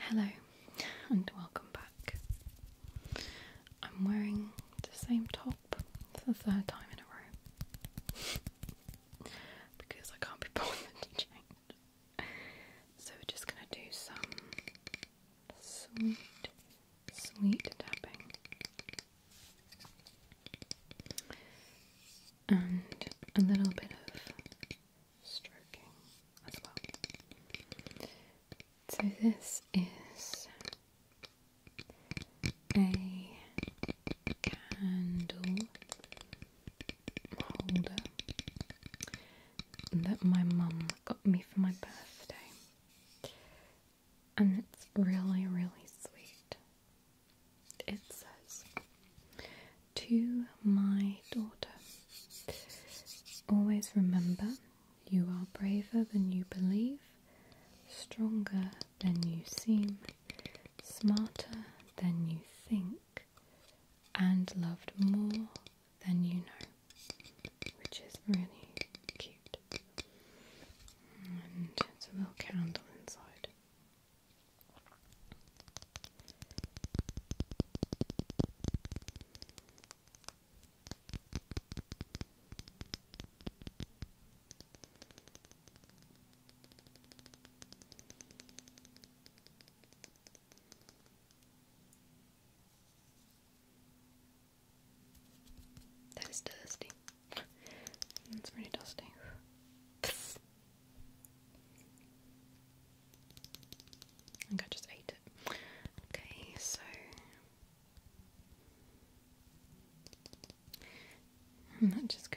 Hello and welcome back. I'm wearing the same top for the third time in a row because I can't be bothered to So we're just going to do some sweet sweet tapping. And a little bit of stroking as well. So, this is a candle holder that my mum got me for my birthday. And it's really, really sweet. It says, To my daughter, always remember you are braver than you believe, stronger than you seem, smarter than you think, and loved more then you know, which is really cute. And it's a little candle inside. That is dusty. That's pretty dusty. I think I just ate it. Okay, so that just goes.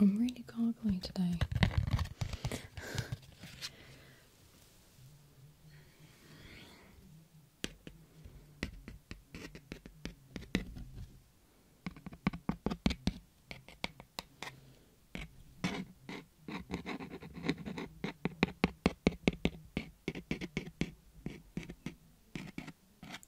I'm really gargly today.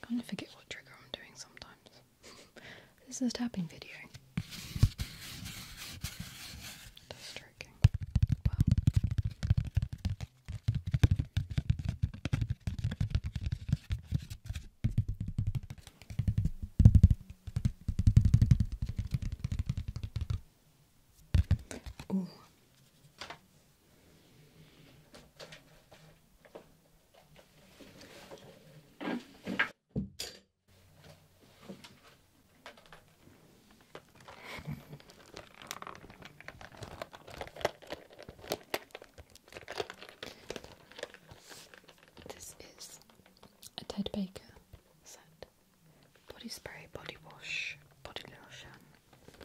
kind of forget what trigger I'm doing sometimes. this is a tapping video. That's stroking. Oh. This is a Ted Baker set. Body spray, body wash, body lotion.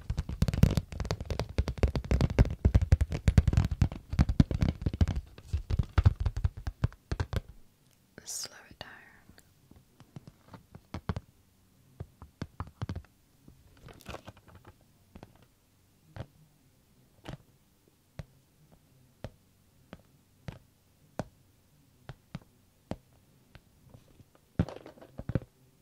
Slow it down.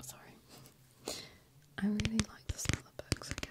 Sorry, I really like the smell of books, okay.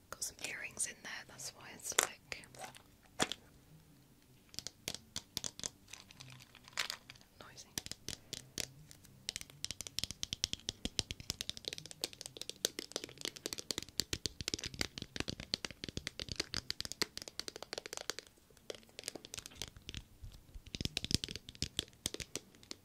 Got some earrings in there, that's why it's like noisy.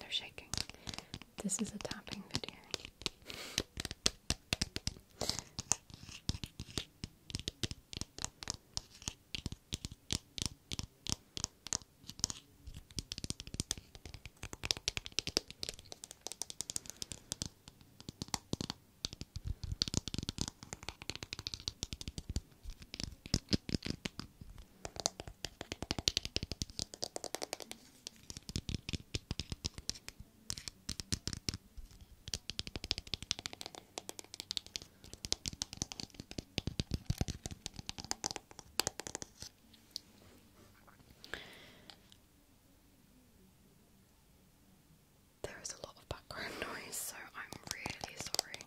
They're shaking. This is a tapping video. There is a lot of background noise, so I'm really sorry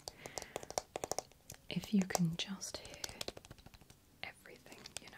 if you can just hear everything, you know.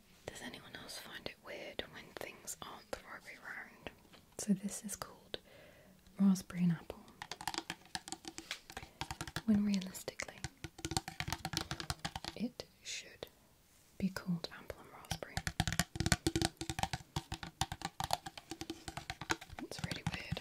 Does anyone else find it weird when things aren't the round? So, this is called raspberry and apple. When realistically, it should be called apple and raspberry. It's really weird.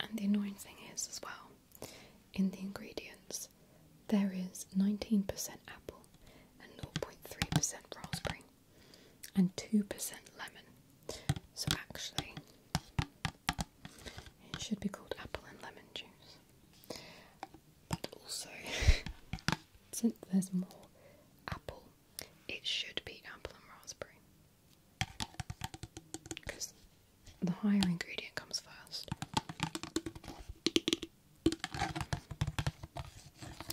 And the annoying thing is, as well, in the ingredients, there is 19% apple and 0.3% raspberry and 2% lemon. So actually, it should be called apple and lemon juice. But also, since there's more apple, it should be apple and raspberry. The higher ingredient comes first. I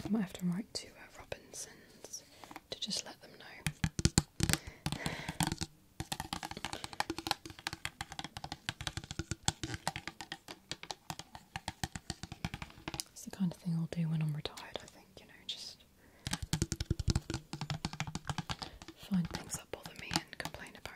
might have to write to uh, Robinsons to just let them know. It's the kind of thing I'll do when I'm retired, I think, you know, just find things that bother me and complain about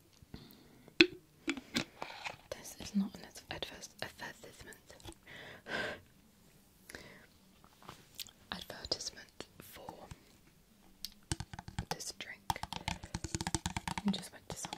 This is not an advertisement. advertisement for this drink. I just went to Subway.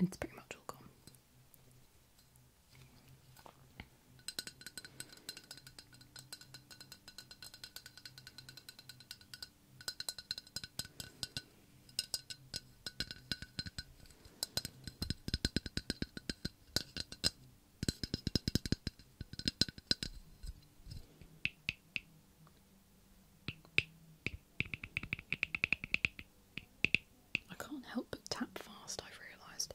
It's pretty much all I can't help but tap fast, I've realised.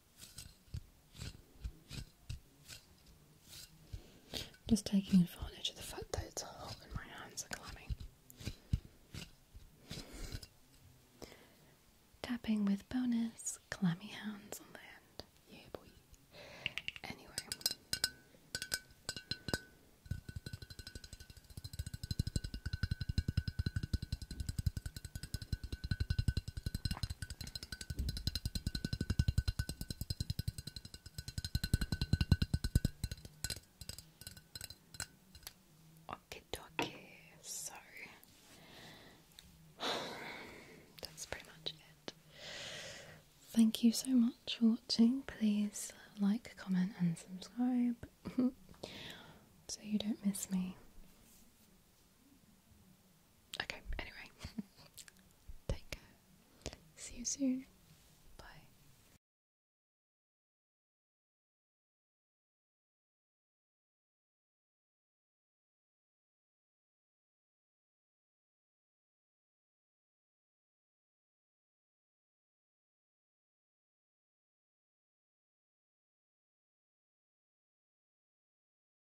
Just taking advantage of the fact that it's hot and my hands are clammy. Tapping with bonus clammy hands on the end. Yeah, boy. Anyway. Okay, So that's pretty much it. Thank you so much for watching. Please like, comment, and subscribe so you don't miss me. Okay, anyway. Take care. See you soon. Bye.